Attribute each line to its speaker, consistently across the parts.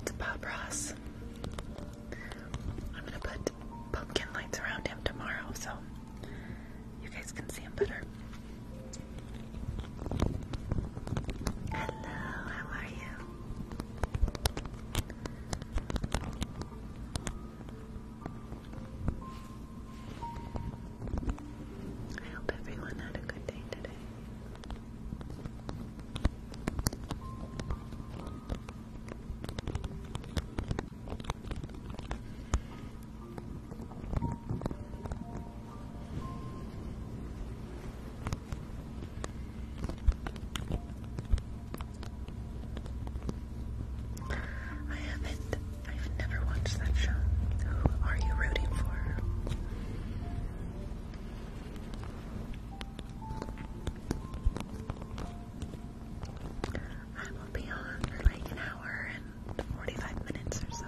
Speaker 1: It's Bob Ross. I'm gonna put pumpkin lights around him tomorrow so you guys can see him better. Hello, how are you? I hope everyone had a good day today. I haven't. I've never watched that show. Who are you rooting for? I will be on for like an hour and 45 minutes or so.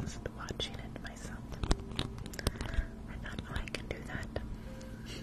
Speaker 1: Just watching it myself. I thought, oh, I can do that.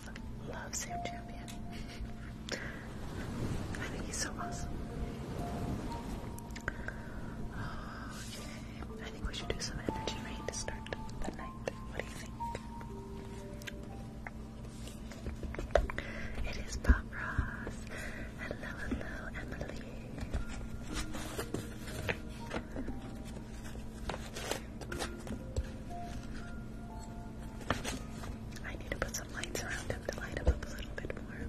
Speaker 1: love, Sam Champion. I think he's so awesome. I think we should do some energy rain to start the night. What do you think? It is Pop Ross. Hello, hello, Emily. I need to put some lights around him to light him up a little bit more.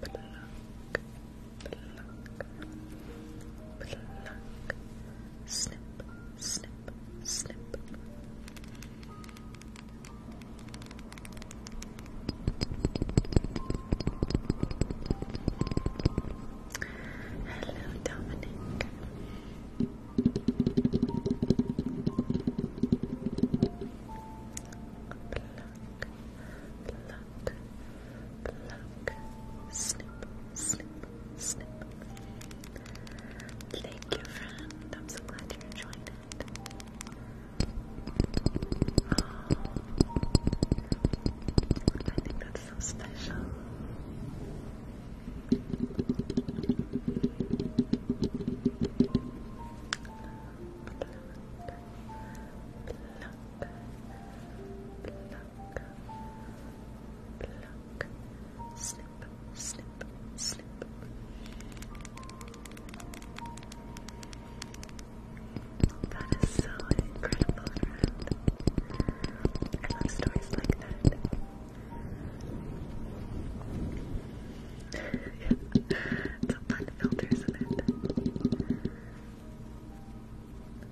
Speaker 1: Pluck, pluck, pluck. Snip, snip, snip. Hello, Dominic. Pluck, pluck, pluck. Snip, snip, snip. Thank you, friend. I'm so glad you're enjoying I think that's so special. Pluck, pluck, snip, snip, snip. That is so incredible, I love stories like that. it's a fun filter, it?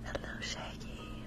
Speaker 1: Hello, Shaggy.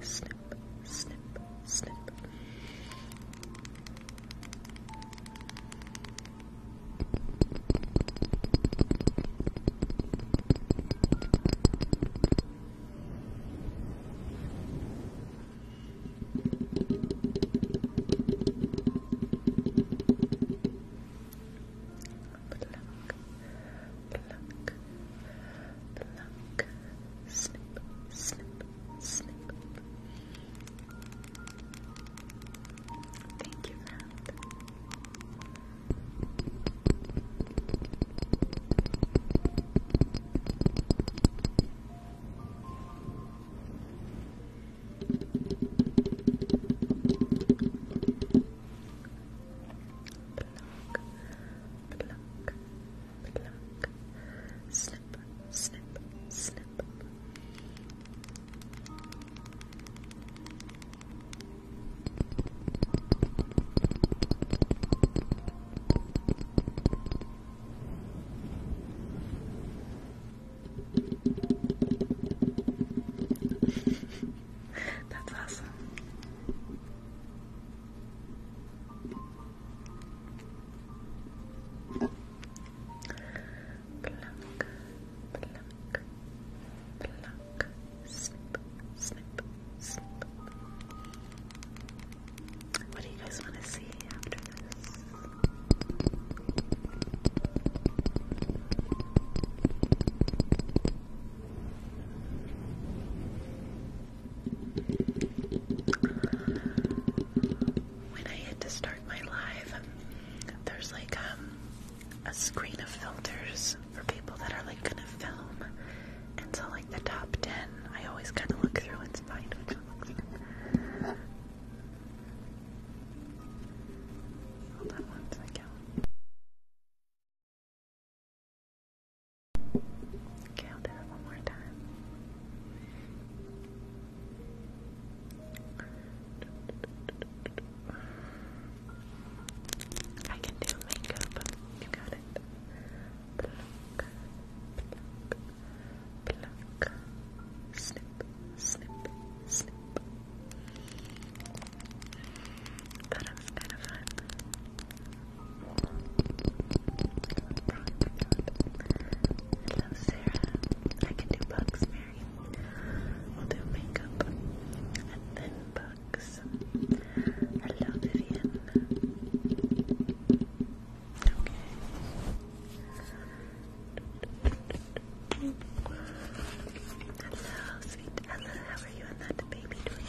Speaker 1: snip, snip, snip. Pluck, pluck, Snip, snip, snip. Thank you, Matt. Pluck, snip, snip, snip. That's awesome. Pluck, pluck, pluck, snip, snip, snip. What do you guys want to see after this? When I hit to start my live, there's like um, a screen of filters for people that are like gonna film. And so, like the top 10, I always kind of look through and find which one looks good. Hold on one second. Okay, I'll do that one more time. I can do makeup. You got it. Pluck, pluck, pluck. Snip, snip, snip. That is kind of fun. Hello, Sarah. I can do bugs, Mary. We'll do makeup and then bugs. Hello, Vivian. Okay. Hello, sweet Ella. How are you and that baby doing?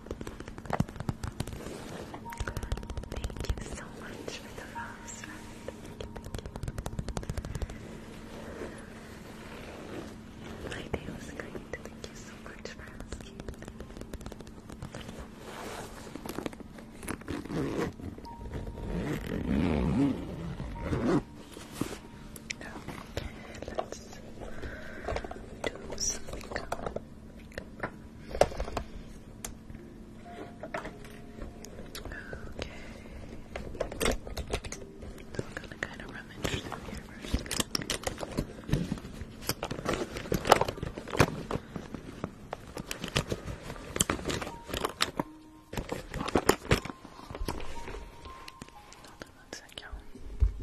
Speaker 1: Thank you so much for the rose, Fred. My day was great. Thank you so much for asking. Okay, let's do some Okay. I'm gonna kind of rummage through here first. Hold on you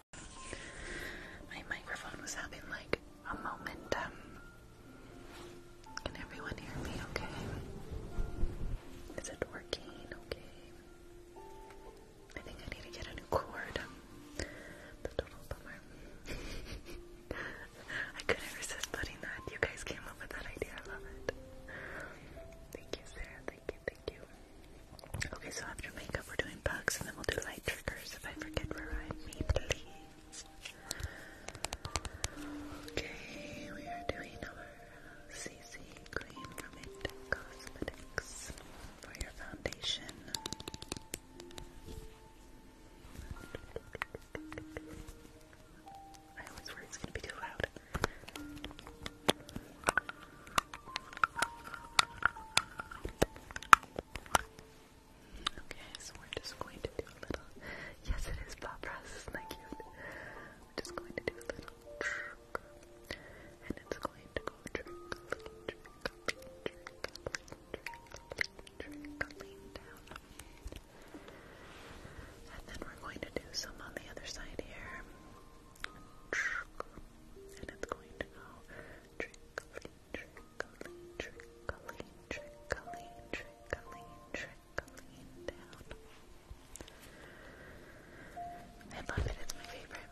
Speaker 1: My microphone was having like a momentum. Can everyone hear me okay? Is it working okay? I think I need to get a new cord. That's total bummer. I couldn't resist putting that. You guys came up with that idea. I love it. Thank you, Sarah. Thank you, thank you. Okay, so after makeup, we're doing bugs, and then we'll do light triggers if I forget where I'm. Okay, we are doing our CC cream from It for your foundation. I always worry it's gonna be too loud. Okay, so we're just going to do a little. Yes, it is pop press, Thank you. just going to do a little and it's going to go trick, trick, trick, trick, trick, trick, trick, down. And then we're going to do some on the other side here. And it's going to go trick, trickling, trickling, trickling, trickling, trickling down. I love it, it's my favorite.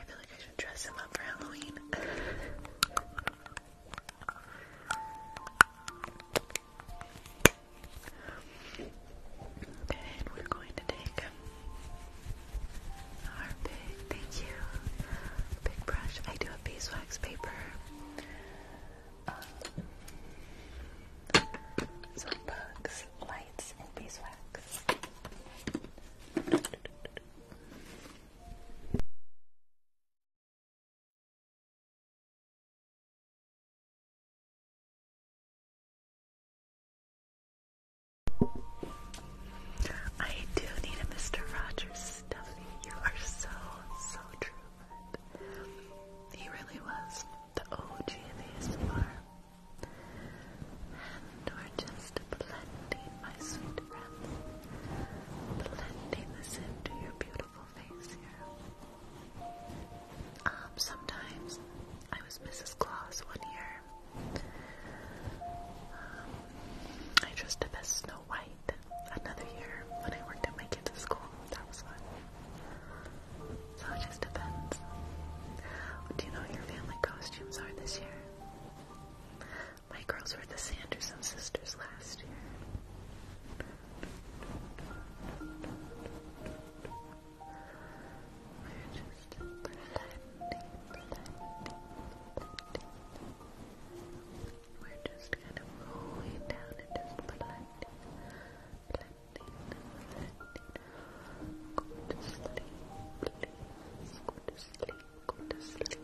Speaker 1: I feel like I should dress him up for Halloween. okay, and we're going to take Armpit, thank you. Big brush. I do have beeswax paper. Um, bugs, lights, and beeswax. I do need a Mr. Rogers stuffy. You are so, so true. He really was the OG of ASMR. And we're just blending, my sweet friends, blending this into your beautiful face here. Um, sometimes I was Mrs. Claus one year I dressed up as Snow White another year when I worked at my kids' school. That was fun. So it just depends. Do you know what your family costumes are this year? My girls were the Sanderson sisters last year. We're just kind of rolling down and blending, blending, blending. Go to sleep, please. Go to sleep, go to sleep.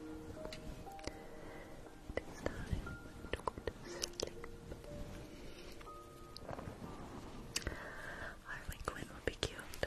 Speaker 1: It is time to to sleep. Harley Quinn would be cute.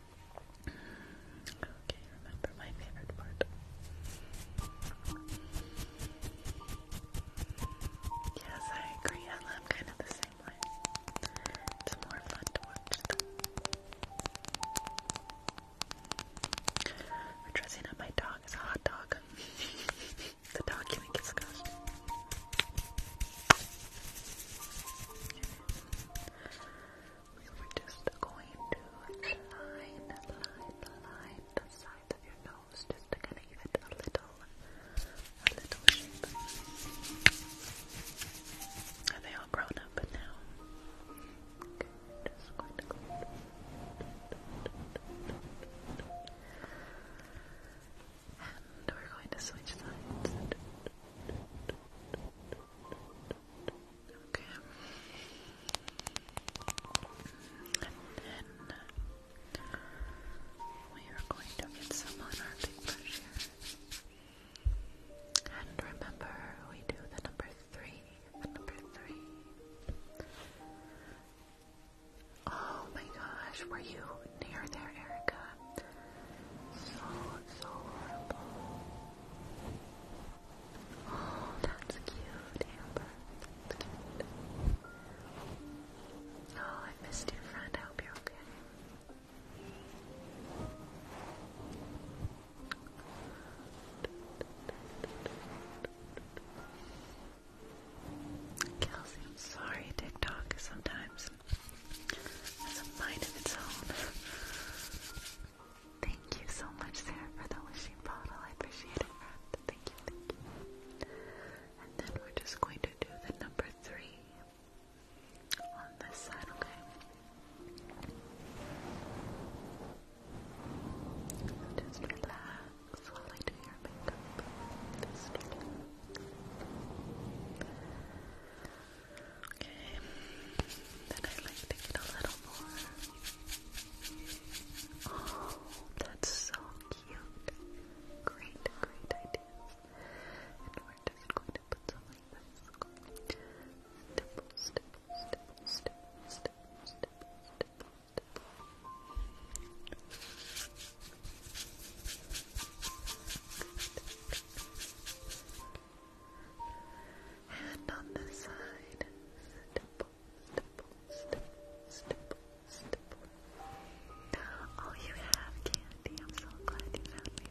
Speaker 1: Okay, remember my favorite part. Yes, I agree. I love kind of the same way. It's more fun to watch them. we dressing up my dog as a hot dog. the dog you think it's we were just going to line, line, line the sides of your nose just to kind of give it a little, a little shape. Are they all grown up now? just going to go. And we're going to switch sides. Okay. And then we are going to get some on our big brush here. And remember, we do the number three. The number three. Oh my gosh, were you near there, Erica? So, so horrible. Oh, that's cute, Amber. Oh, I missed your friend. I hope you're okay. Kelsey, I'm sorry, TikTok sometimes has a mind of its own. thank you so much, Sarah, for the wishing bottle. I appreciate it, Thank you, thank you. And then we're just going to do the number three on this side, okay? Just relax while I do your makeup. Just relax. Okay, then I like to get a little more. Oh, that's so cute. Great, great ideas. And we're just going to put some like Stipple, stipple, stipple, stipple, stipple, stipple, stipple, and on the side, Oh, you have candy. I'm so glad you found me.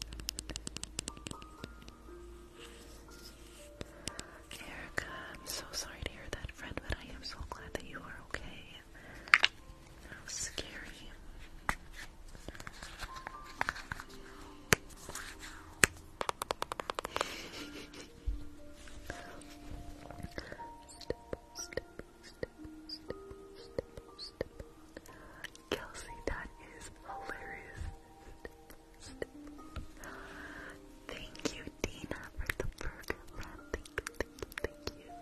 Speaker 1: Erica, I'm so sorry to hear that, friend, but I am so glad that you are okay. How scary. Kelsey, that is hilarious. Thank you, Dina, for the burger. thank you.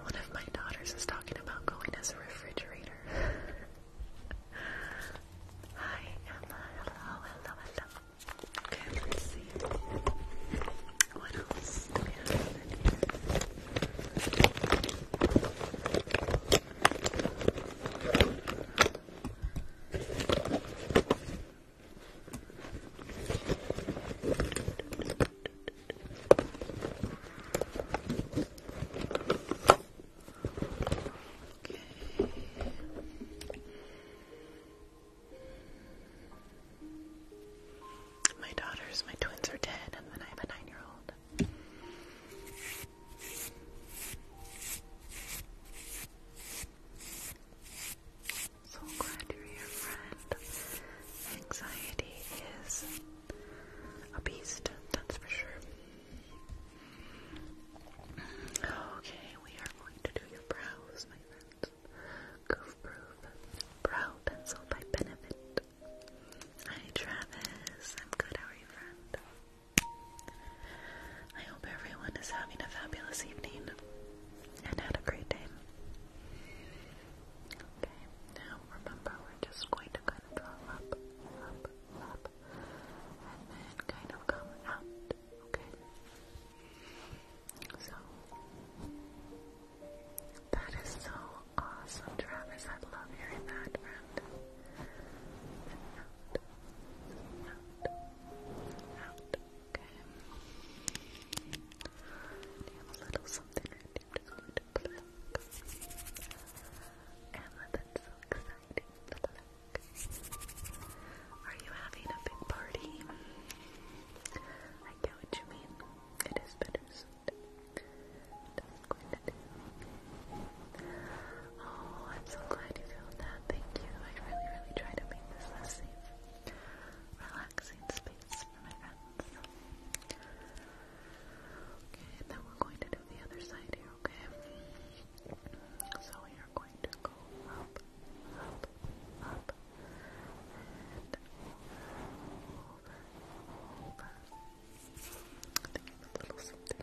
Speaker 1: One of my daughters is talking about going as a refrigerator. My daughters, my twins are dead, and then I have a 9 year old. So glad you're here, friend. Anxiety is a beast, that's for sure. Okay, we are going to do your brows, my friends. Goof Proof Brow Pencil by Benefit. Hi, Travis. I'm good. How are you, friend? I hope everyone is having a fabulous evening and had a great day. Okay, now remember we're just going to kind of draw up, up, up, and then kind of come out, okay? So, that is so awesome, Travis. I love hearing that, out, okay? you a little something right here? Just going to pluck. Emma, that's exciting. Are you having a big party? I get what you mean. It is bittersweet. Oh, I'm so glad you feel that. Thank you. I really, really try to make this a safe, relaxing space for my friends. Okay, and then we're going to do the other side here, okay? So we are going to go up, up, up, and over, over. I think I have a little something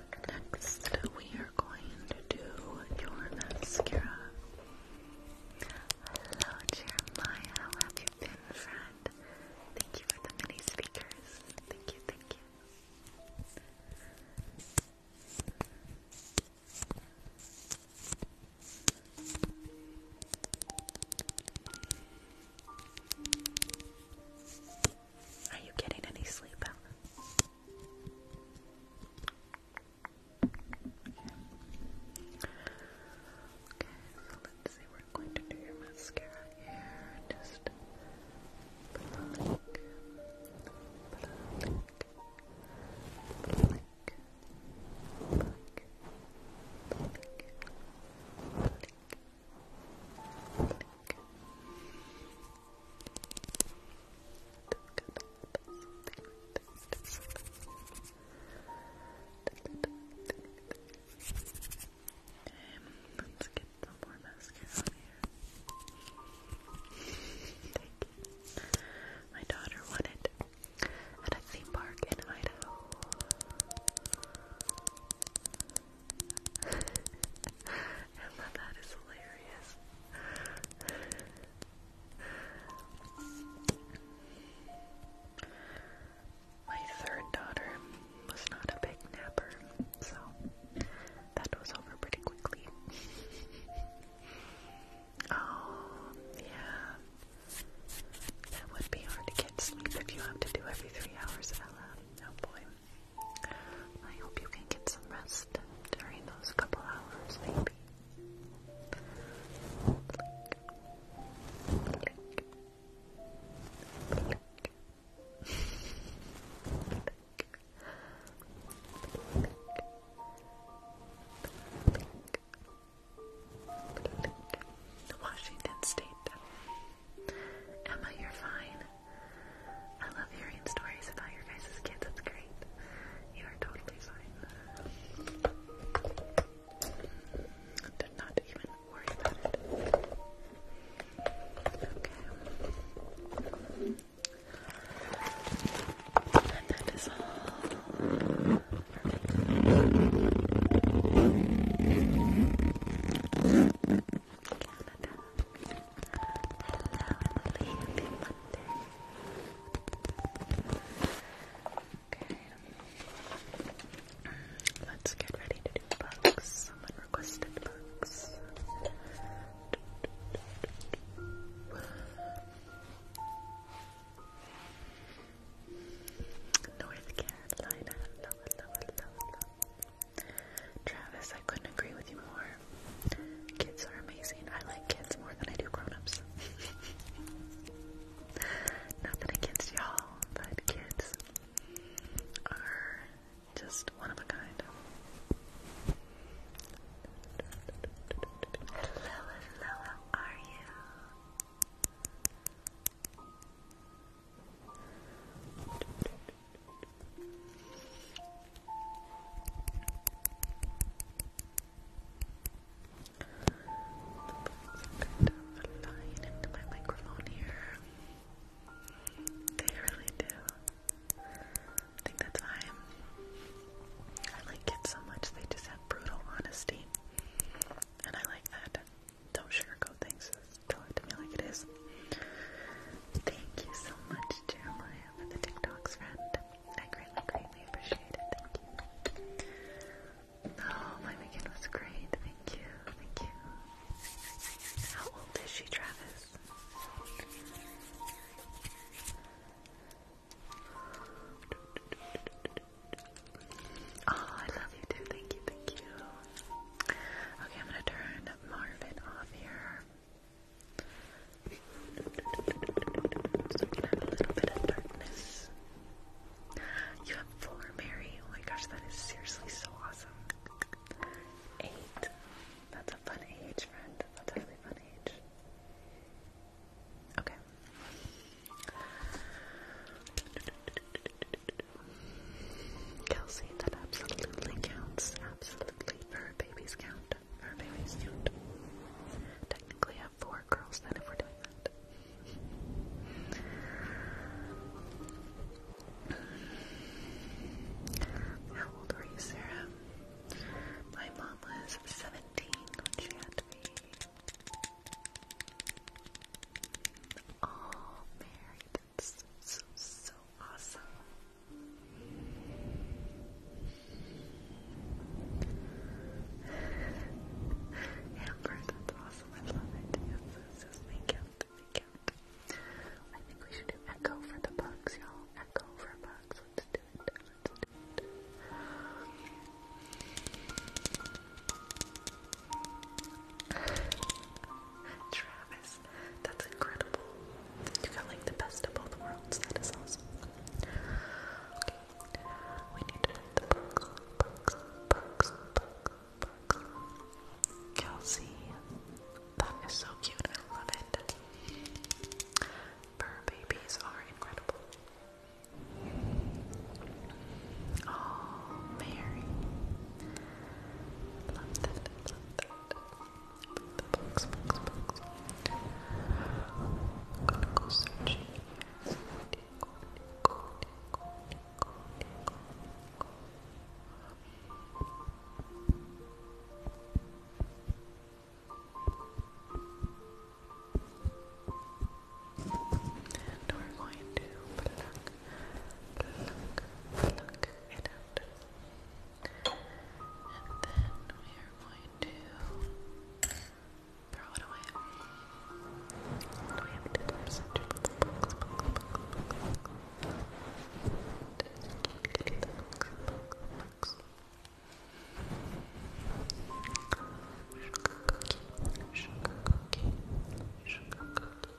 Speaker 1: Next, we are going to do your mascara. Hello, Jeremiah. How have you been, friend? Thank you for the mini speakers. Thank you, thank you. Are you getting any sleep, Ellen? Okay, so let's see, we're going to do your mascara here. Just blink, blink, blink. Blink, blink, blink, blink let's get some more mascara on here. Thank you. My daughter won it at a theme park in Idaho. Emma, that is hilarious. My third daughter was not a big napper, so that was over pretty quickly. oh, yeah. That would be hard to get sleep if you have to do every three hours, Ella. Oh boy. I hope you can get some rest during those couple hours, maybe. Blink. Washington State. Emma, you're fine. I love hearing stories about your guys' kids. It's great. You are totally fine. Did not even worry about it. Okay. And that is all. Emily. Happy Monday. Okay. Let's get ready to do books. Someone requested books. North Carolina. Love, love, love, love. Travis, I couldn't agree with you more. Kids are amazing. I like kids more than I do grown-ups. Nothing against y'all, but kids are just one of a kind. Hello, hello, how are you? They really do. I think that's why i like kids so much. They just have brutal honesty. And I like that. Don't sugarcoat things. Just to me like it is. Thank you so much, Jeremiah, for the TikToks, friend. I greatly, greatly appreciate it. Thank you. Oh, my weekend was great. Thank you. Thank you. How old is she, Travis? Oh, I love you too. Thank you. Thank you. Okay, I'm gonna turn Marvin off here. So we have a little bit of darkness. You have four, Mary. Oh my gosh, that is seriously so awesome. Eight. That's a fun age, friend. That's a really fun age. Okay. Kelsey, that absolutely counts. Absolutely, for a count. Our baby's cute. Technically, have four girls then if we're doing that. How old were you, Sarah? My mom was 17 when she had me. All married. so, so awesome. Amber, that's awesome. I love it. This is make out, make out. I think we should do echo for the bugs, y'all. Echo for bugs. Let's do it. Let's do it. Travis, that's incredible. You got like the best of both worlds. That is awesome. Okay. We need to put the books, Kelsey. That is so cute. I love it. Fur are incredible. Oh, Mary. The box, And we're going to pluck, pluck, pluck it out. And then we are going to throw it away. we have to do some books, books, books, books, Sugar cookie, sugar cookie, sugar cookie.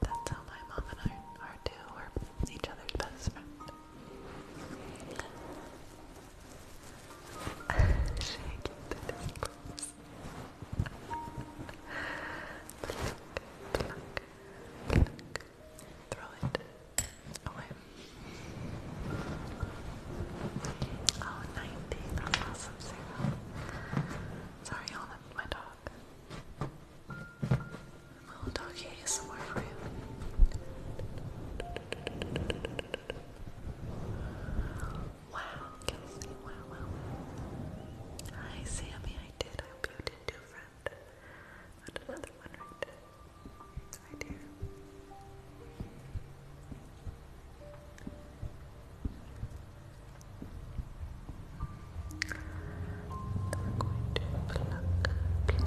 Speaker 1: That's how my mom and I are too. We're each other's best friend. Shake it, please. pluck, pluck, pluck. Throw it away. Oh, That's awesome, Sarah. Sorry, Alma my dog. My little doggy is somewhere for you. Wow, Hi, Sammy, I did. I hope you did too, friend. And another one right there. Hi, I'm going to pluck, pluck, pluck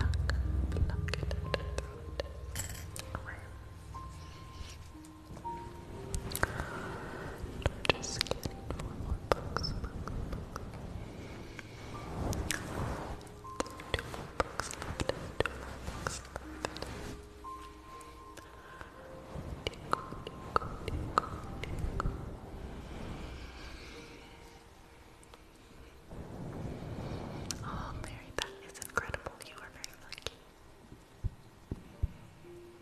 Speaker 1: it out of the just getting more books, books, books. Two more books Oh, Mary, that is incredible. You are very lucky. And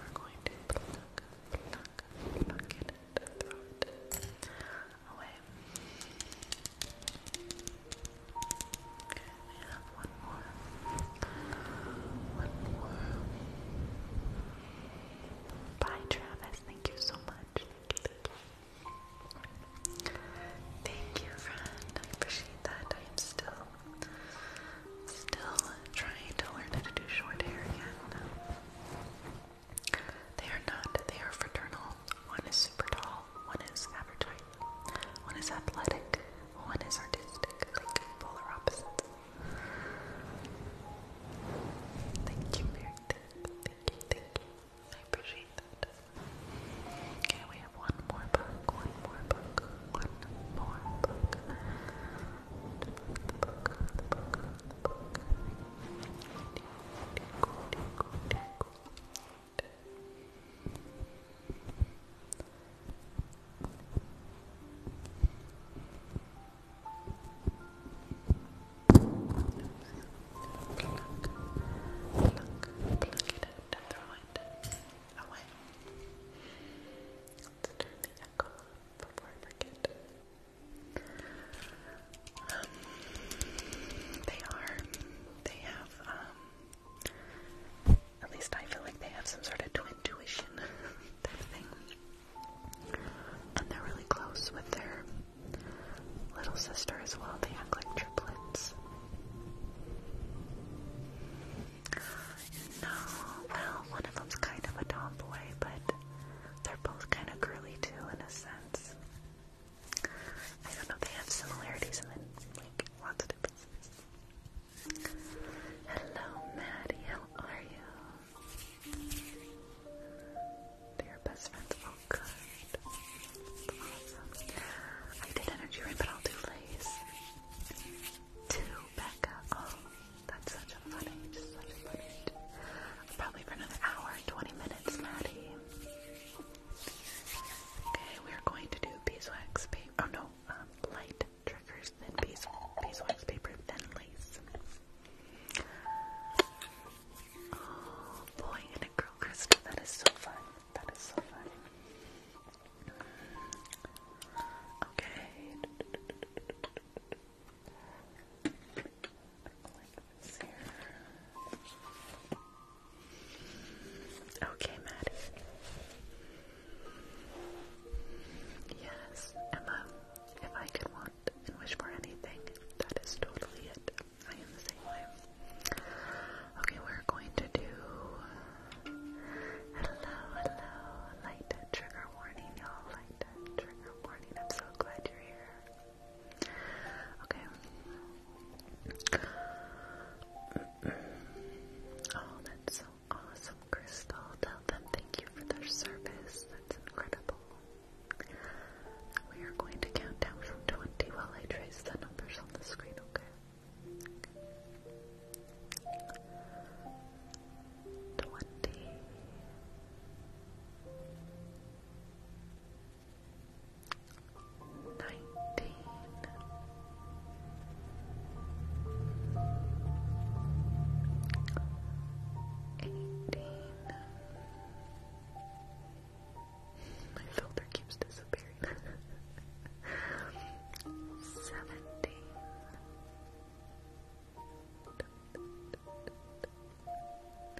Speaker 1: we're going to pluck, pluck, pluck it and away. I have one more. One more. Bye, Travis. Thank you so much. Thank you. Thank you, thank you friend. I appreciate that. I am still, still trying to learn how to do short hair again. They are not. They are fraternal. One is super tall. One is average height. One is athletic. One is artistic. Like polar opposites. Thank you, Mary. Thank you, thank you. I appreciate that. Okay, we have one more book. One more book. One more book the book. Tickle, it out and throw it away. turn the echo before I forget. Um, they are. They have, um, at least I feel like they have some sort of twin tuition type thing. And they're really close with their little sister as well. They act like triplets. No, well, one of them's kind of a tomboy, but they're both kind of girly too, in a sense. I don't know, they have similarities and then, like, lots of differences. Hello, Maddie, how are you? They're best friends, oh good. Awesome. I did energy rain, but I'll do lace. To Becca, oh, that's such a fun age, such a fun Probably for another hour, 20 minutes, Maddie. Okay, we're going to do beeswax paper. Oh no, um, light triggers, then bees beeswax paper, then lace. Oh boy, and a girl crystal. That is so fun. That is so fun. Okay. Okay, Maddie. Yes, Emma. If I could want and wish for anything, that is totally it. I am the same way. Okay, we're going to do. Hello, hello. Light trigger warning, y'all. Light trigger warning. I'm so glad you're here. Okay. Oh, that's so awesome, Crystal. Tell them thank you for their service. That's incredible. We are going to count down from 20 while I trace the numbers on the screen, okay? Twenty nineteen. My filter keeps disappearing. Seventeen.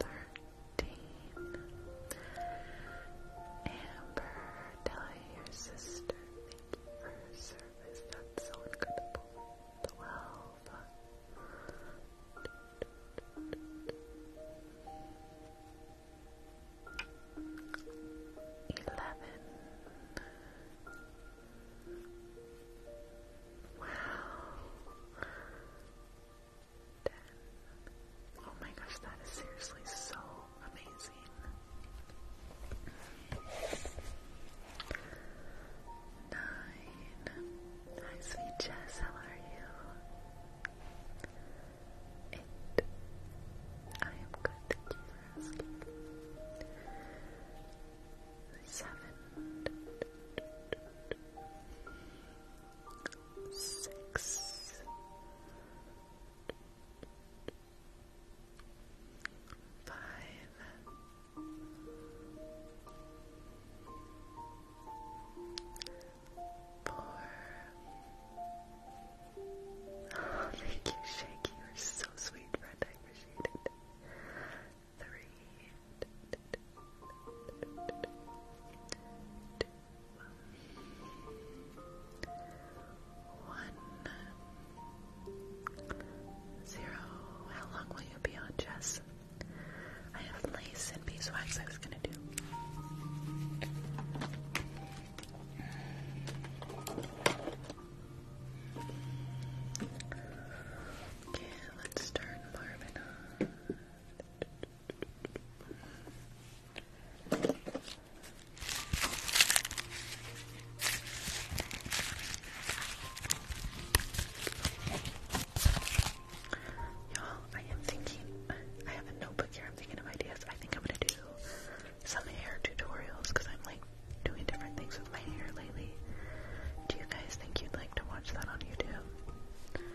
Speaker 1: Thirteen. Amber, tell your sister thank you her service. That's so incredible. Twelve. Eleven. Wow. Oh my gosh, that is seriously so amazing. Nine. Hi, sweet Jess, how are you? Eight. I am good, thank you Seven six, five, four. Oh, thank you, Shaky. You're so sweet, friend. I appreciate it three, two, one, zero. How long will you be on, Jess? I have lace and beeswax I was gonna do. Okay, let's turn Marvin on. Y'all, I am thinking, I have a notebook here, I'm thinking of ideas. I think I'm gonna do some hair tutorials because I'm like doing different things with my hair lately. Do you guys think you'd like to watch that on YouTube?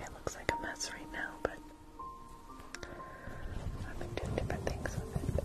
Speaker 1: It looks like a mess right now, but I've been doing different things with it.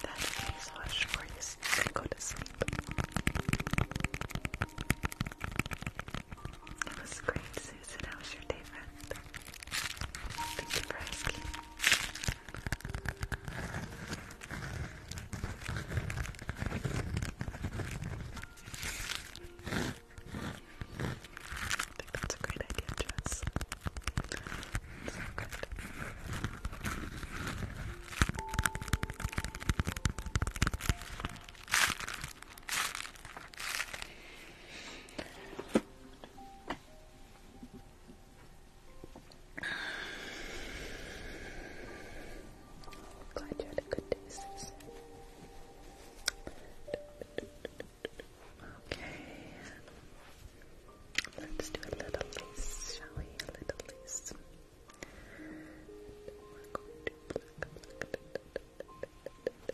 Speaker 1: That face for you so go to sleep. That was great, Susan. How was your day, friend? Thank you for I think that's a great idea, Jess. So good. Glad you had a good day, Susan. Okay. Let's do a little lace, shall we? A little lace.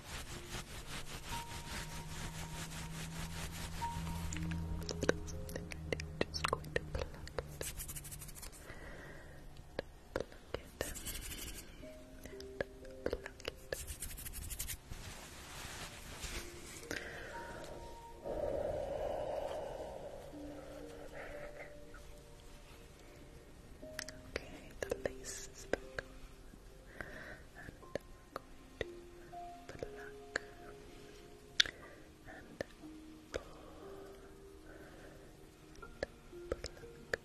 Speaker 1: Just going to plug it. Plug it. And plug it. Okay, the lace is back And we're going and pull and pluck and Pluck and pull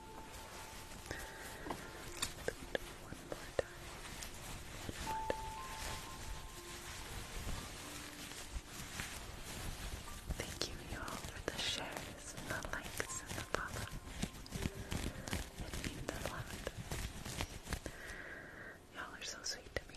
Speaker 1: Thank you, you all, for the shares, and the likes, and the follow. It means a lot. Y'all are so sweet to me.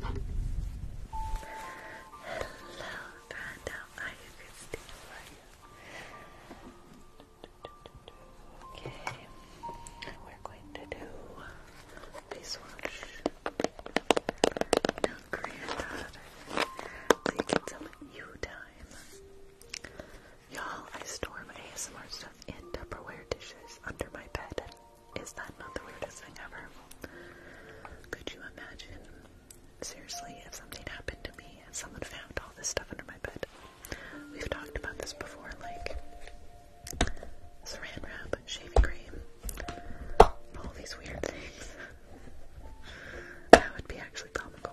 Speaker 1: Hello, Brenda. are you, Christine? How are you? we're going to do face wash. No granddaughter. So you get some time. Y'all, I store my ASMR stuff in Tupperware dishes under my bed. Is that not the weirdest thing ever? Could you imagine? Seriously, if something happened to me and someone found all this stuff under my bed. We've talked about this before, like saran wrap, shaving cream, all these weird things. that would be actually comical.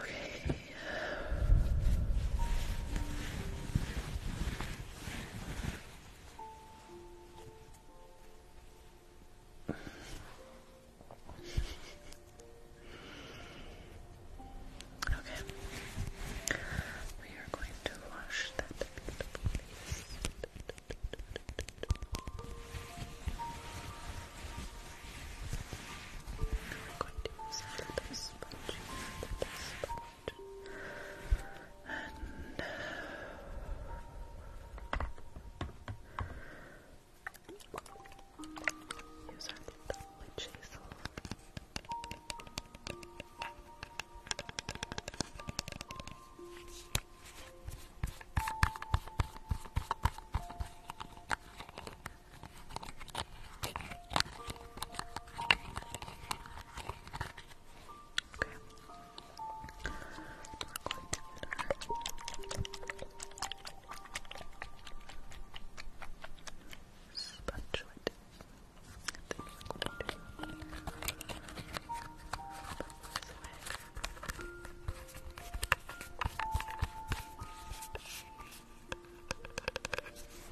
Speaker 1: Okay. Okay. We are going to wash that face. We're going to use a little sponge, a and use our little witch Okay. Sponge it. Then we're going to this way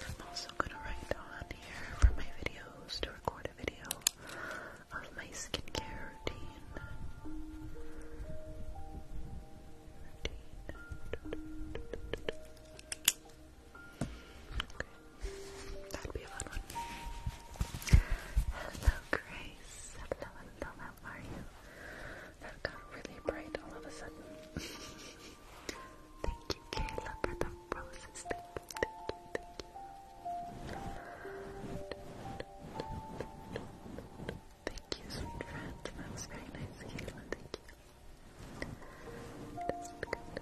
Speaker 1: I'm also going to write on here for my videos to record a video of my skincare routine. That'd be a fun one. Hello, Grace. Hello, hello, up, are you? That got really bright all of a sudden. thank you, Kayla, for the roses. Thank you, thank you, sweet friends. That was very nice, Kayla. Thank you. Just good.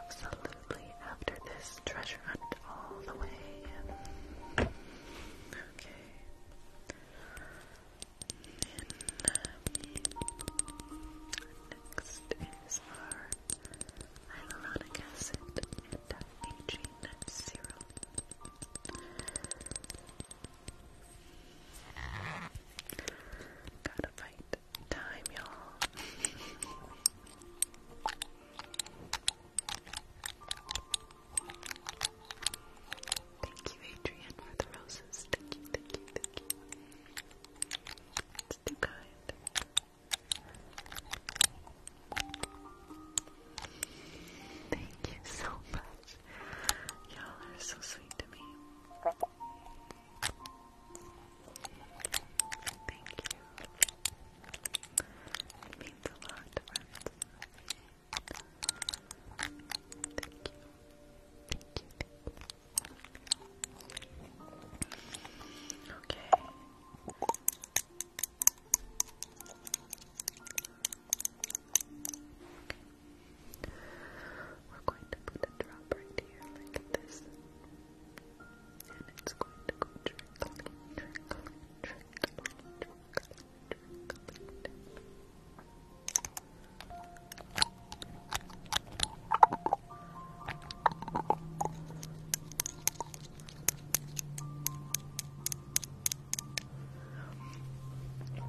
Speaker 1: Absolutely. After this treasure hunt all the way Next is our hyaluronic acid anti-aging serum. Gotta fight time, y'all. Thank you, Adrian, for the roses. Thank you, thank you, thank you. It's too kind. Thank you so much. Y'all are so sweet to me. Thank you. It means a lot friends. Thank you. Okay. We're going to put a drop right here like this. And it's going to go trickling, trickling, trickling, trickling,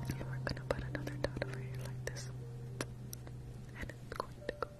Speaker 1: and we're gonna put another dot over here like this. And it's going to go down.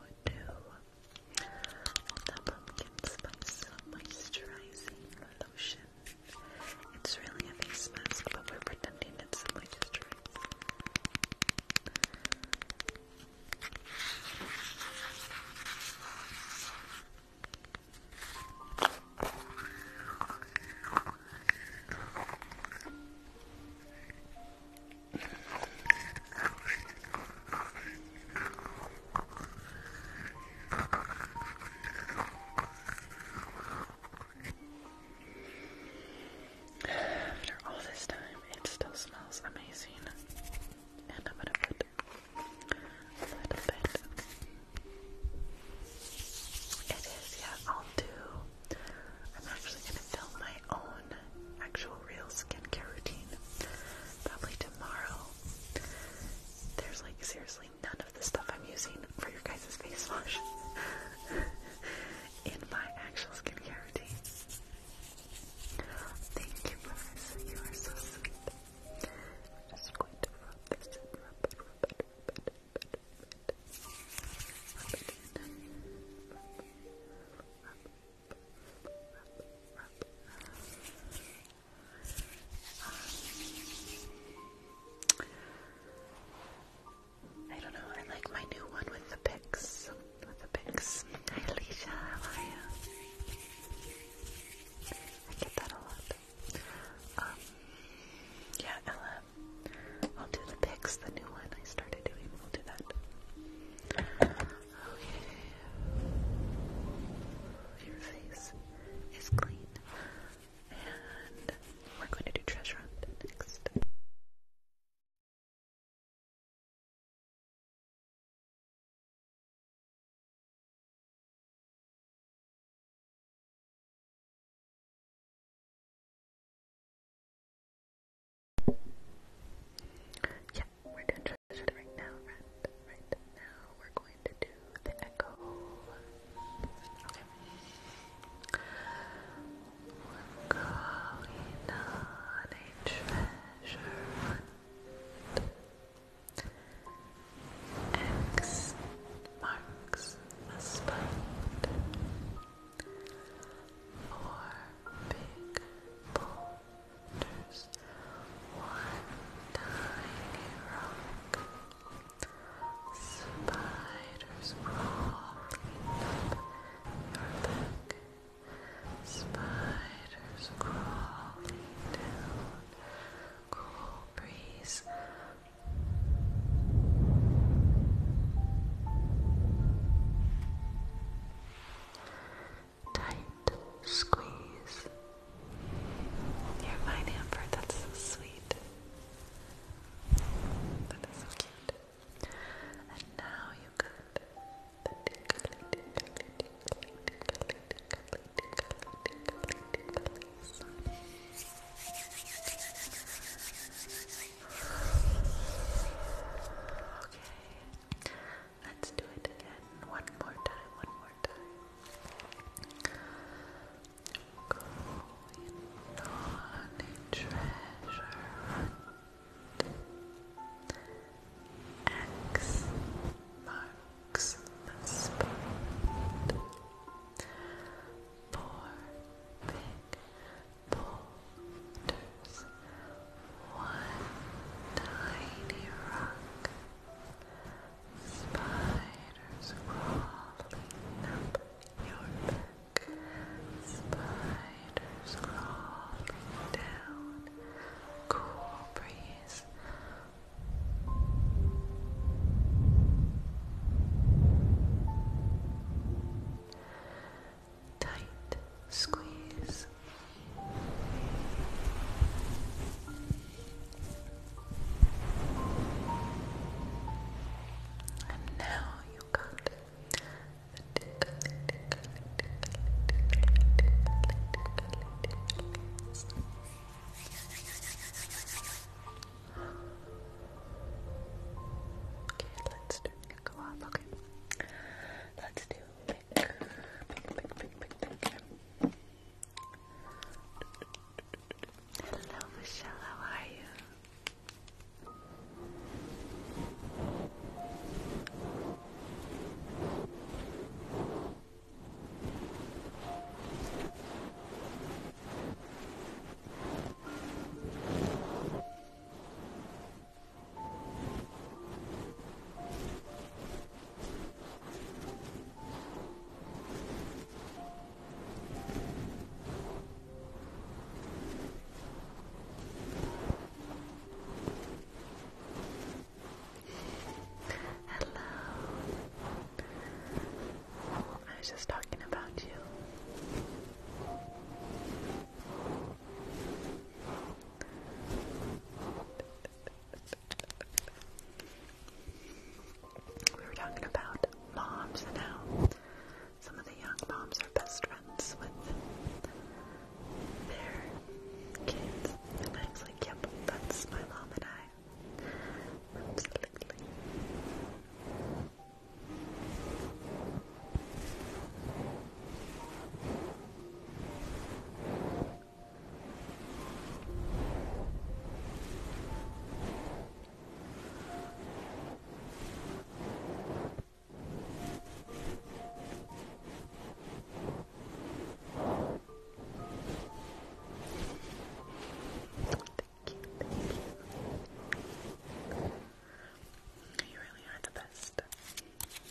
Speaker 1: I do the pumpkin spice moisturizing lotion. It's really a face mask, but we're pretending it's a moisturizer. After all this time, it still smells amazing. And I'm gonna put a little bit. It is, yeah, I'll do I'm actually going to film my own actual real skincare routine probably tomorrow. There's like seriously none of the stuff I'm using for your guys' face wash in my actual skincare routine. Thank you, Lewis. You are so sweet. just going to rub this in, rub it, rub it, rub it, rub it, rub it, rub it, rub it in. Rub, rub, I don't know, I like my new one with the pics. With the pics. Hi Alicia, how are you? I get that a lot. Um, yeah, Ella. I'll do the pics, the new one I started doing. We'll do that. Your face is clean. And we're going to do treasure hunt next. Yeah, we're doing transition right now, right? Right now we're going to do the echo. Okay. we a treasure hunt. X marks the spot. Four big boulders, one tiny rock, spiders crawling up your back, spiders crawling down, cool breeze. Tight squeeze. You're mine, Amber. That's so sweet. That is so cute. And now you got the tickly, tickly, tickly, tickly, tickly, tickly, tickly, tickly, tickly. Okay, let's do it again. One more time, one more time. X marks the spot boulders, one tiny rock, spiders crawling up your back, spiders crawling down, cool breeze tight squeeze. And now you got the Okay, let's do a Let's do pick, Hello, Michelle. How are you? Hello. I was just talking about you. We were talking about moms and how some of the young moms are best friends with their kids. And I was like, yep, that's my mom and I. Thank you, You really are the best.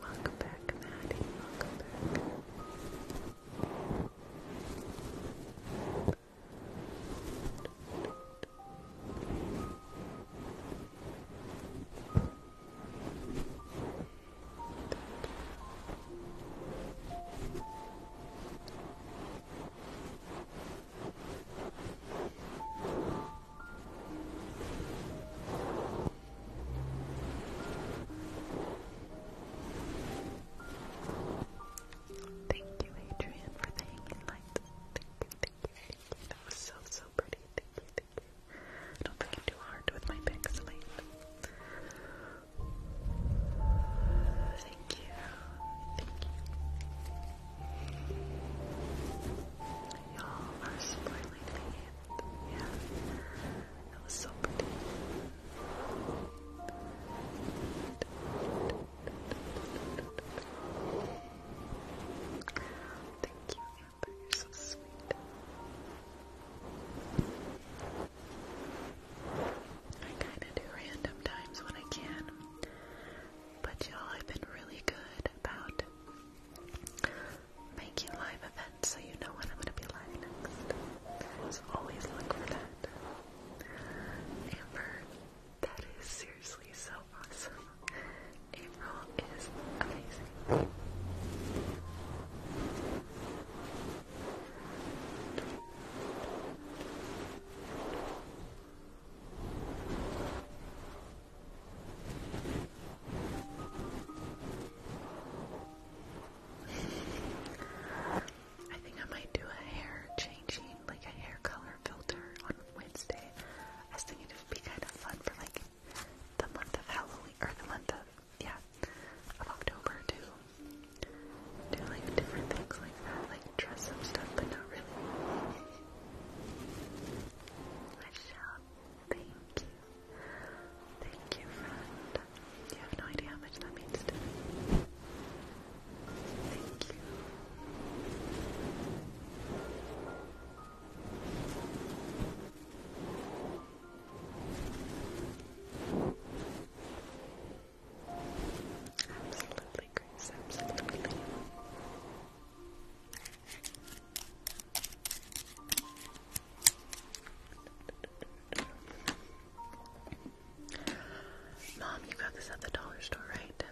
Speaker 1: Welcome back, Maddie. Welcome back. Thank you. Thank you, Adrian, for hanging lights. Thank you, thank you, thank you. That was so, so pretty. Thank you, thank you. I don't too hard with my pixelate. Thank you, thank you. Y'all are spoiling me. Yeah. That was so pretty. Thank you, Amber. You're so sweet. I kind of do random times when I can, but y'all, I've been really good about making live events so you know when I'm going to be live next. always look for that. Amber, that is seriously so awesome. April is amazing. I think I might do a hair changing, like a hair color filter on Wednesday. I was thinking it would be kind of fun for like the month of Halloween, or the month of, yeah, of October to do like different things like that, like dress up stuff, but not really. I shop. Thank you. Thank you, friend. You have no idea how much that means to me. Absolutely, Grace. Absolutely. Mom, you got this at the dollar store, right?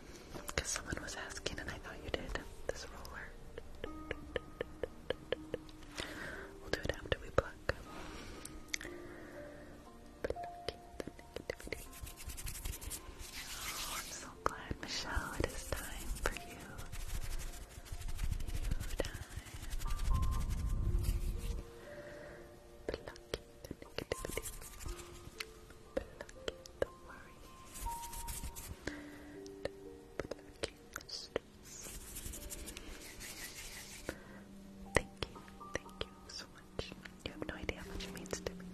Speaker 1: Because someone was asking and I thought you did. This roller. We'll do it after we pluck. Oh, I'm so glad, Michelle. It is time for you Pluck the negativity. Pluck the worry. Pluck the stress. Thank you, thank you so much. You have no idea how much it means to me.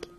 Speaker 1: Pluck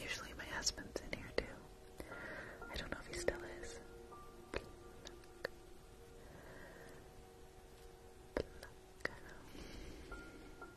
Speaker 1: Usually my husband's in here too. I don't know if he still is.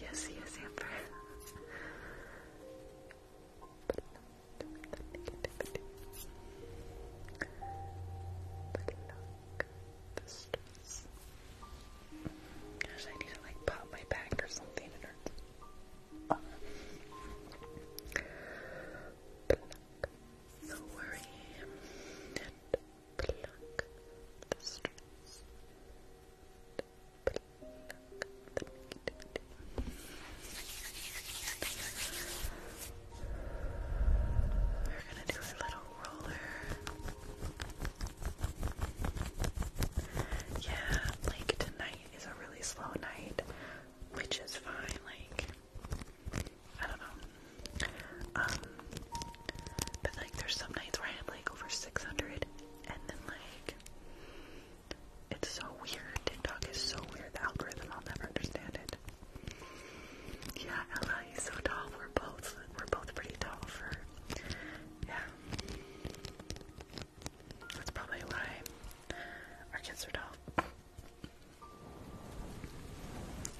Speaker 1: Yes, yes, Amber. Pluck the stress. Gosh, I need to like pop my back or something. It hurts. the stress. We're gonna do a little roller. Yeah, like tonight is a really slow night, which is fine. Like, I don't know. Um, but like, there's some nights where I have like over 600 and then like it's so weird. TikTok is so weird. The algorithm, I'll never understand it. Yeah, Ella, he's so tall. We're both we're both pretty tall for yeah. That's probably why our kids are tall.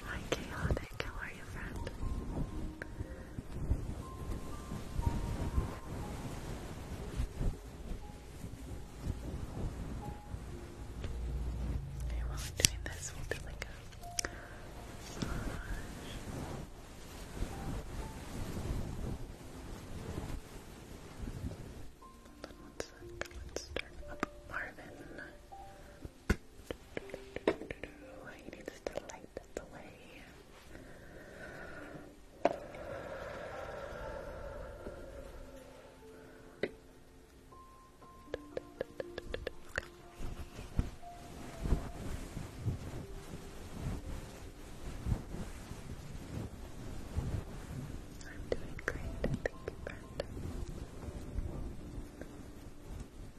Speaker 1: Hi chaotic, how are you friend? Okay, while I'm doing this, we'll do like a massage. Hold on one Let's turn up Marvin. He needs to light the way. I'm doing great, thank you, Brenda.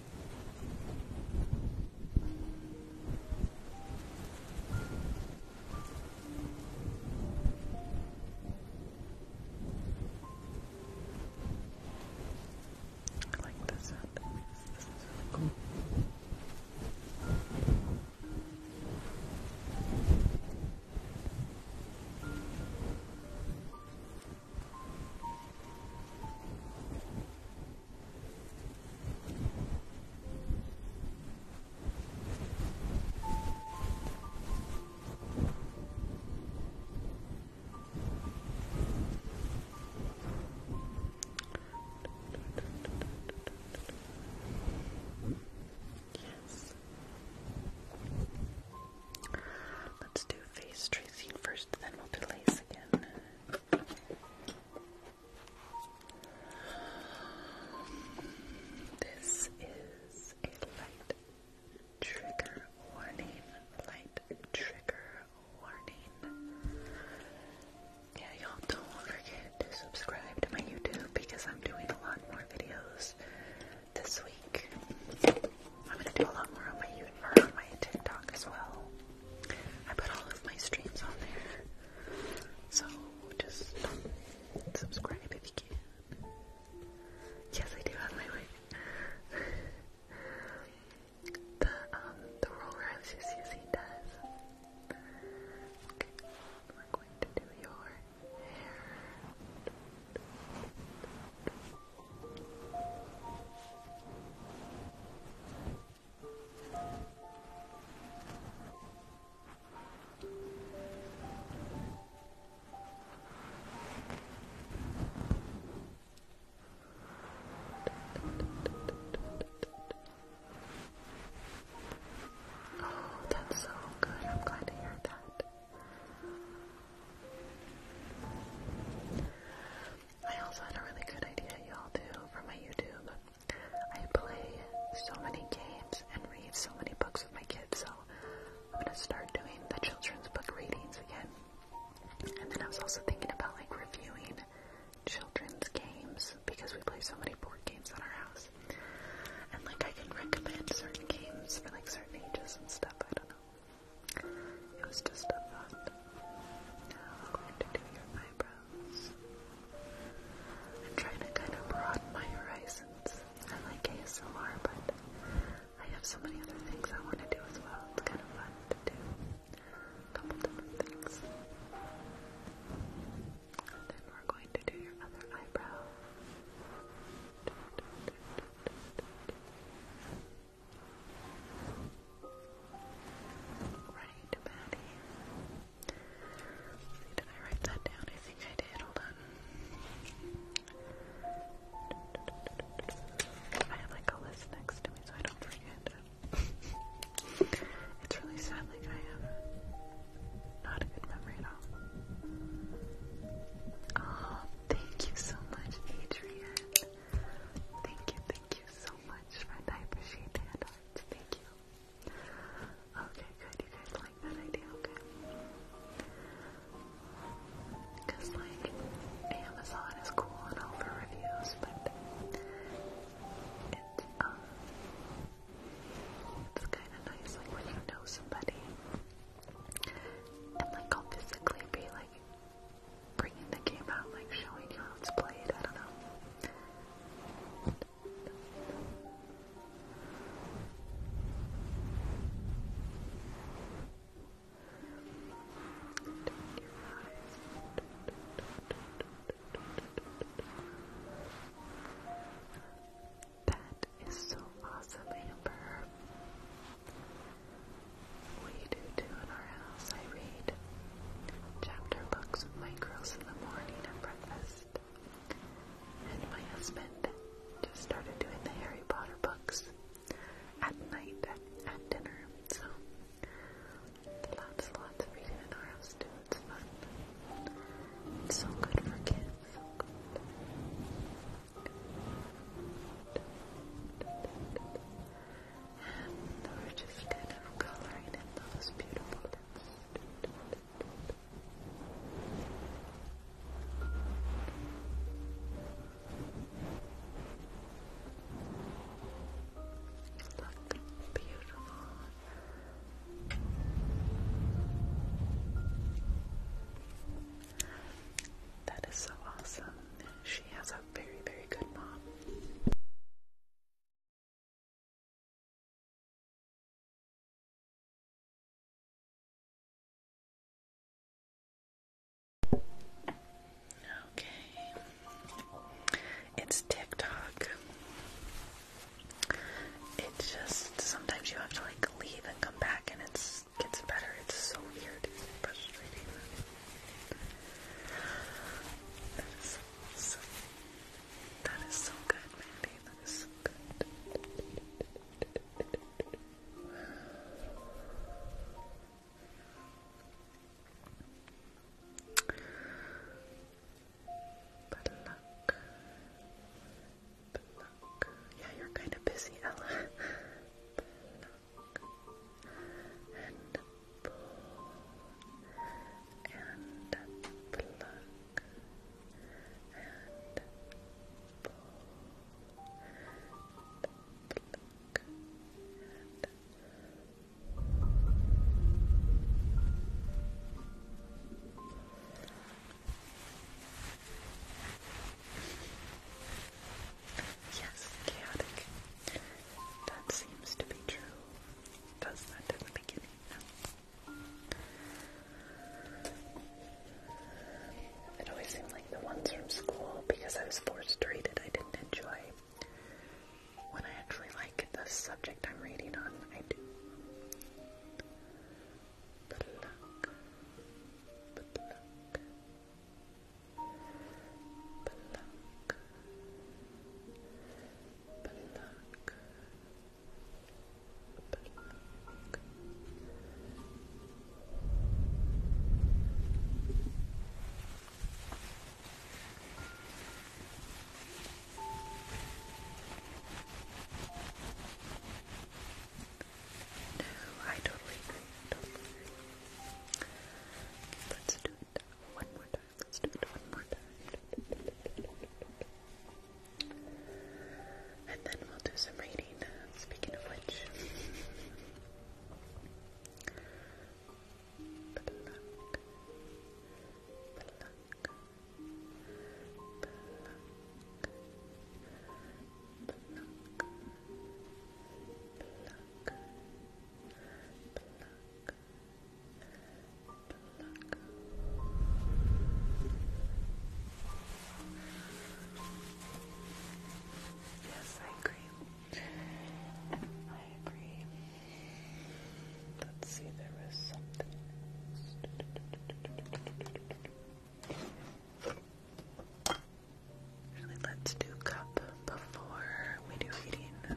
Speaker 1: I like the sound that makes. This is really cool. I Yes. Let's do face tracing first, then we'll do lace again. This is a light trigger warning. Light trigger warning. Yeah, y'all don't forget to subscribe to my YouTube because I'm doing a lot more videos this week. I'm gonna do a lot more on my YouTube or on my TikTok as well. I put all of my streams on there. So just subscribe if you can. Yes, I do have my wig. the um the roller I was just using does. we're going to do your hair. Oh, that's so good. I'm glad to hear that. I also had a really good idea, y'all, too, for my YouTube. I play so many games and read so many books with my kids, so I'm gonna start doing the children's book readings again. And then I was also thinking about like reviewing children's games because we play so many board games at our house. And like I can recommend certain games for like certain ages and stuff, I don't know. It was just a thought. Now I'm going to do your eyebrows. I'm trying to kind of broaden my horizons. I like ASMR, but I have so many other things I want to do as well. It's kind of fun to do a couple different things. then we're going to do your other eyebrow. Right, Patty. did I write that down? I think I did. Hold on. I have like a list next to me so I don't forget. it's really sad, like I have not a good memory at all. Oh, thank you so much, Adrian. Thank you, thank you so much, friend. I appreciate that. Thank you. Okay, good. You guys like that idea? Okay. Because, like, Amazon is cool and all for reviews, but it's, um, it's kind of nice, like, when you know somebody and, like, I'll physically be, like, bringing the game out, like, showing you how it's played. I don't know. That is so awesome, Amber. We do too in our house. I read Chapter books with my girls in the morning at breakfast. And my husband just started doing the Harry Potter books at night at, dinner. So lots lots of reading in our house It's fun. It's so good for kids. And are just kind of coloring in those beautiful look beautiful. That is so awesome. She has a very, very good mom. Okay. It's TikTok. It just sometimes you have to like leave and come back and it's gets better. It's so weird. frustrating. That is awesome. That is so good, Mandy. That is so good. But luck. But luck. Yeah, you're kind of busy, Ella. and pluck and pull Yes, chaotic. That seems to be true does that in the beginning. No. It always seemed like the ones from school, because I was forced to read it, I didn't enjoy. When I actually like the subject I'm reading on, I do. Pluck. Pluck. No, I totally agree, Let's do it one more Let's do it one more time. And then we'll do some reading. Uh, speaking of which. Yes, I agree. I agree. Let's see, there was something Actually, let's do cup before we do eating.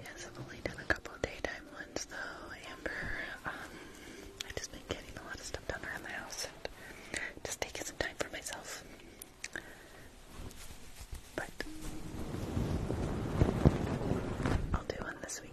Speaker 1: Yes, I've only done a couple daytime ones though, Amber. Um, I've just been getting a lot of stuff done around the house just taking some time for myself. But I'll do one this week.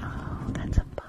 Speaker 1: Oh, that's a bummer.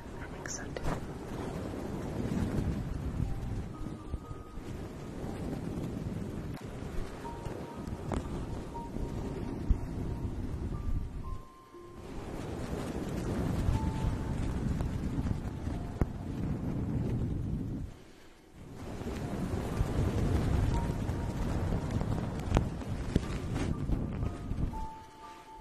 Speaker 1: I think so too. I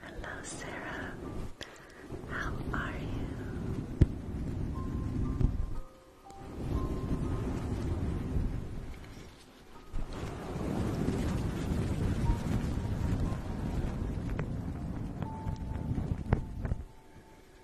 Speaker 1: Hello, Sarah. How are you?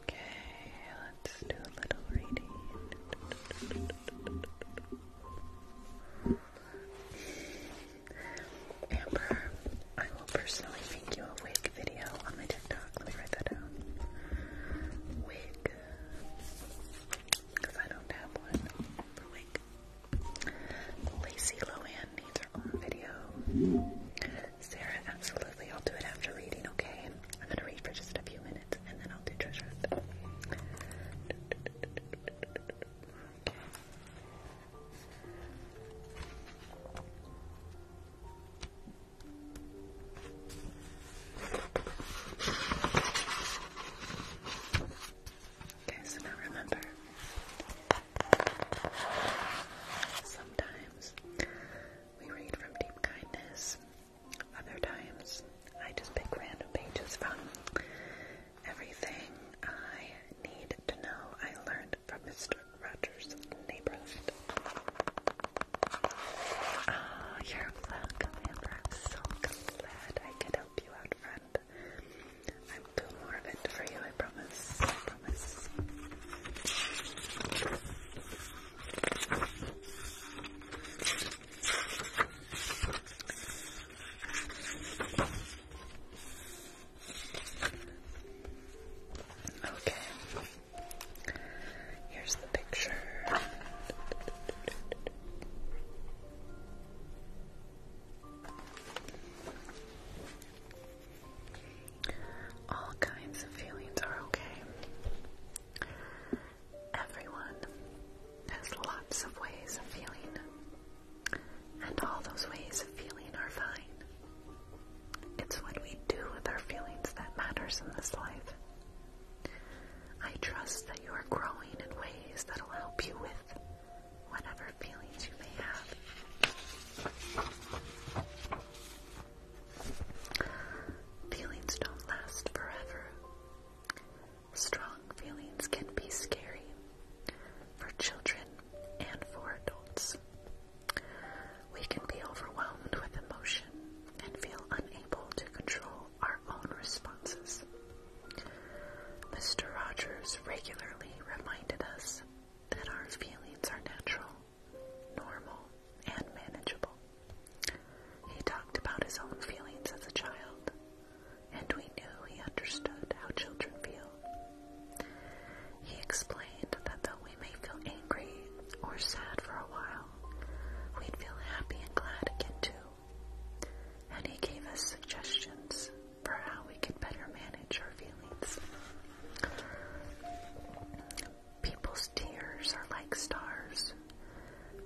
Speaker 1: Okay, let's do a little reading. Amber, I will personally make you a wig video on my TikTok. Let me write that down. Wig because I don't have one for wig. Lacey Lohan needs her own video. Sarah, absolutely. I'll do it after reading, okay? I'm going to read for just a few minutes and then I'll do treasure. Okay, so now remember, sometimes we read from deep kindness, other times I just pick random pages from everything I need to know I learned from Mr. Rogers' neighborhood. Oh, you're welcome, Amber. so glad I could help you out, friend. I will do more of it I promise. I promise. Okay. Here's the picture. All kinds of feelings are okay. Everyone has lots of ways of feeling, and all those ways of feeling are fine. It's what we do with our feelings that matters in this life. I trust that you are growing in ways that will help you with whatever feelings you may have. Feelings don't last forever. Strong feelings can be scary for children and for adults. We can be overwhelmed with emotion and feel unable to control our own responses. Mr. Rogers regularly reminded us that our feelings are natural, normal, and manageable. He talked about his own feelings as a child, and we knew he understood how children feel. He explained that though we may feel angry or sad for a while, we'd feel happy and glad again too. And he gave us suggestions for how we could better manage our feelings. People's tears are like stars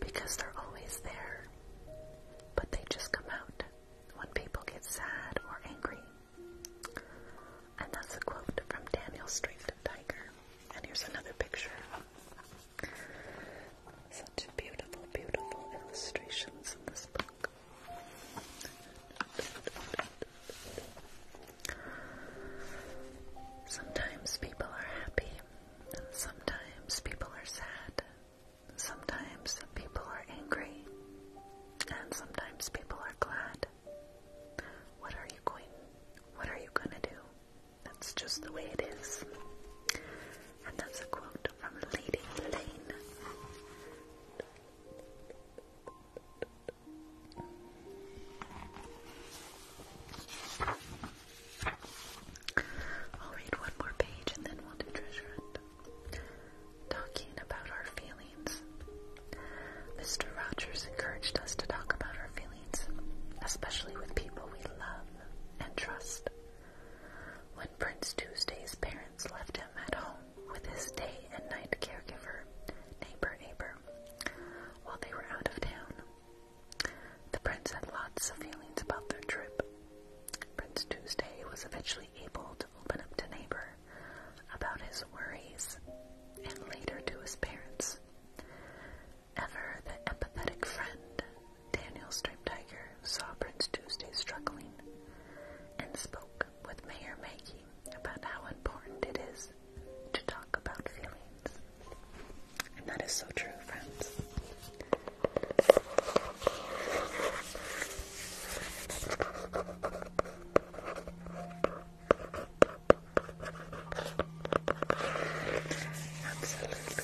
Speaker 1: because they're always there, but they just come out when people get sad or angry. And that's a quote from Daniel Street Tiger. And here's another picture such beautiful, beautiful illustrations in this book. Sometimes people are happy, sometimes people are sad. Sometimes people are angry, and sometimes people are glad. What are you going? What are you gonna do? That's just the way it is. And that's a quote from Lady Lane. I'll read one more page and then we'll treasure hunt. Talking about our feelings. Mr. Rogers encouraged us to talk about our feelings, especially with people we love and trust. When Prince Tuesday's parents left him at home with his day and night caregiver, neighbor Abram, while they were out of town, the prince had lots of feelings about their trip. Prince Tuesday was eventually able to open up to neighbor about his worries and later to his parents. Ever the empathetic friend, Daniel Striped Tiger saw Prince Tuesday struggling and spoke with Mayor Maggie about how important it is to talk about feelings. And that is so true, friends. Absolutely,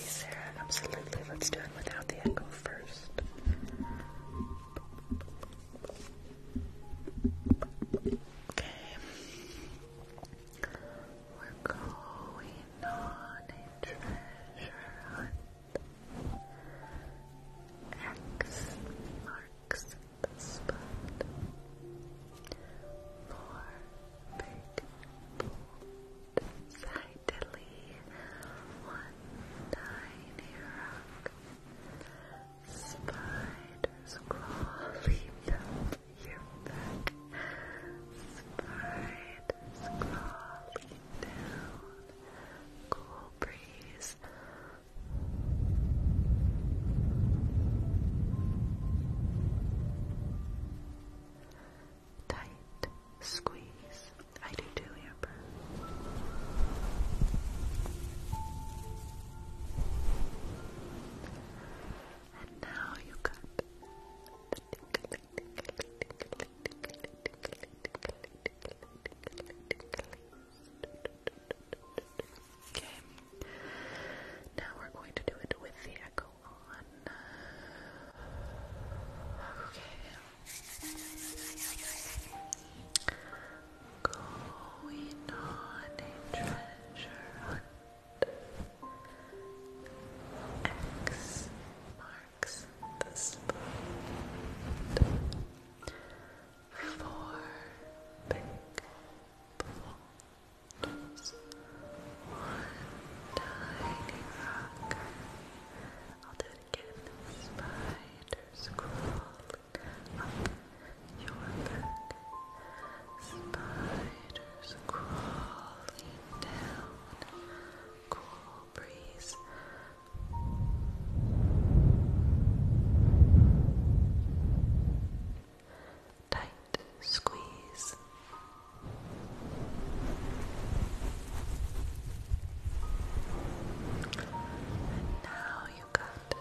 Speaker 1: Sarah. Absolutely. Let's do it without the echo first. Okay. We're going on a treasure hunt. X marks the spot. Four Sidely, one tiny rock, spiders crawl, down your back, spiders crawl, down, cool breeze tight squeeze. I do too, Amber. And now you got Okay. Now we're going to do it with the echo on. Okay. Going on a treasure hunt. X marks the spot. Four big balls just one tiny rock. I'll do it again. Spiders crawling up your back. Spiders crawling down. Cool breeze tight squeeze. now you got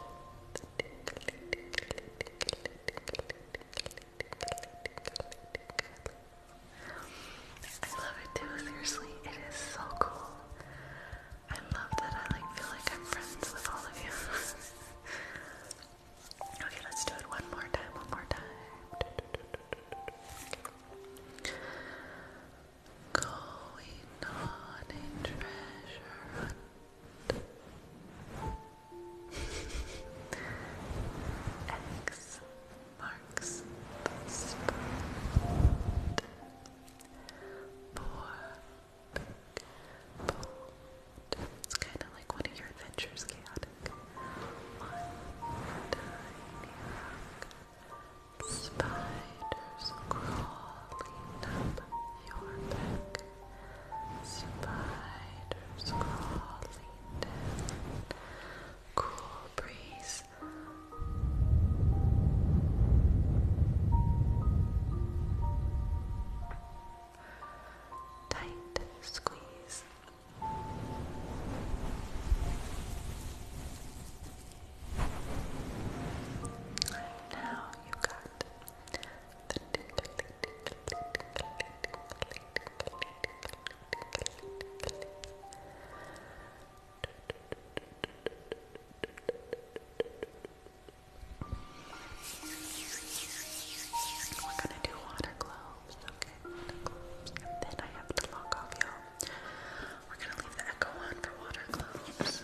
Speaker 1: I love it too, seriously, it is so cool. I love that I like feel like I'm friends with all of you. Okay, let's do it one more time, one more time. Going on a treasure X marks the spot for it's kind of like one of your adventures, chaotic. Spiders crawling up your back. Spiders crawling down. Cool breeze. Tight squeeze. Now you got the we're going to do water glow. Okay, then I have to log off, y'all. We're gonna leave the echo on for water globes.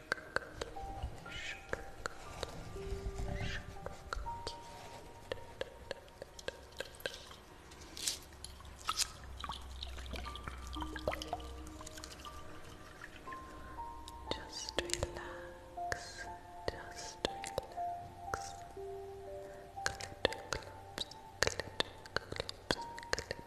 Speaker 1: sugar cookie, sugar cookie, sugar cookie. Just relax, just relax. Glitter clips, glitter clips, glitter clips, glitter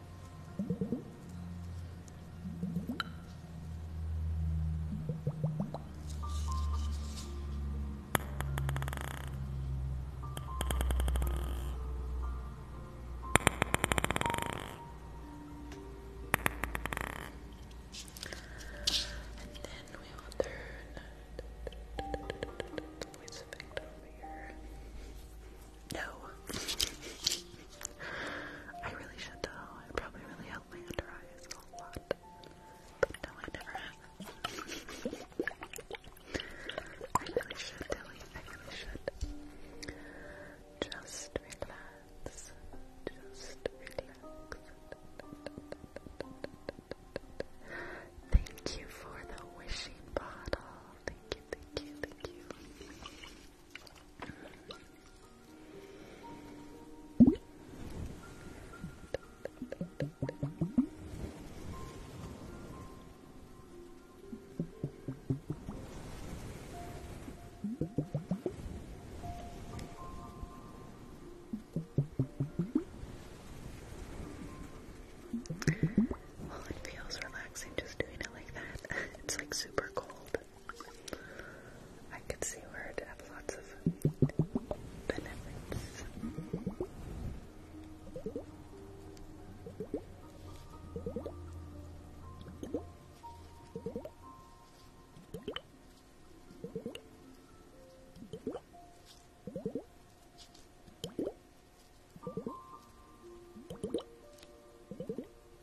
Speaker 1: And then we will turn the voice here. No. I really should though. It probably really helped my under eyes a lot. But no, I never I really should, Dilly. I really should. Just relax. Just relax. Thank you for the wishing bottle. Thank you, thank you, thank you. Well, it feels relaxing just doing it like that. It's like super cold. I could see where it have lots of benefits.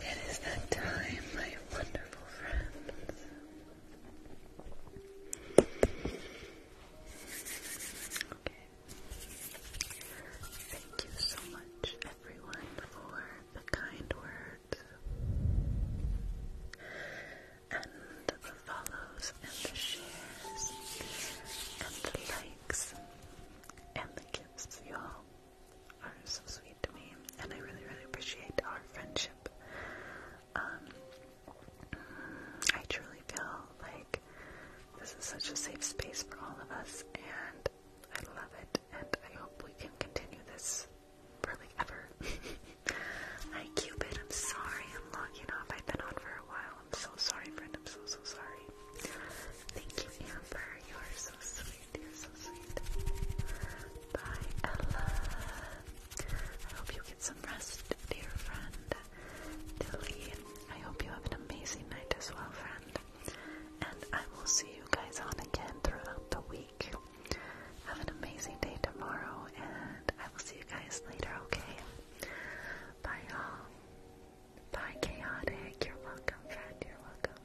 Speaker 1: It is that time, my wonderful friends. Okay. Thank you so much, everyone, for the kind words and the follows and the shares and the likes and the gifts, y'all are so sweet to me, and I really, really appreciate our friendship. Um, I truly feel like this is such a safe space for all of us, and I love it, and I hope we can continue this for ever. Hi, Cupid. I'm sorry I'm logging off. I've been on for a while. I'm so sorry, friend. I'm so, so sorry. Thank you, Amber. You are so sweet sweet, Ella. I hope you get some rest, dear friend. Tilly, I hope you have an amazing night as well, friend. And I will see you guys on again throughout the week. Have an amazing day tomorrow, and I will see you guys later, okay? Bye, y'all. Bye, Chaotic. You're welcome, friend. You're welcome.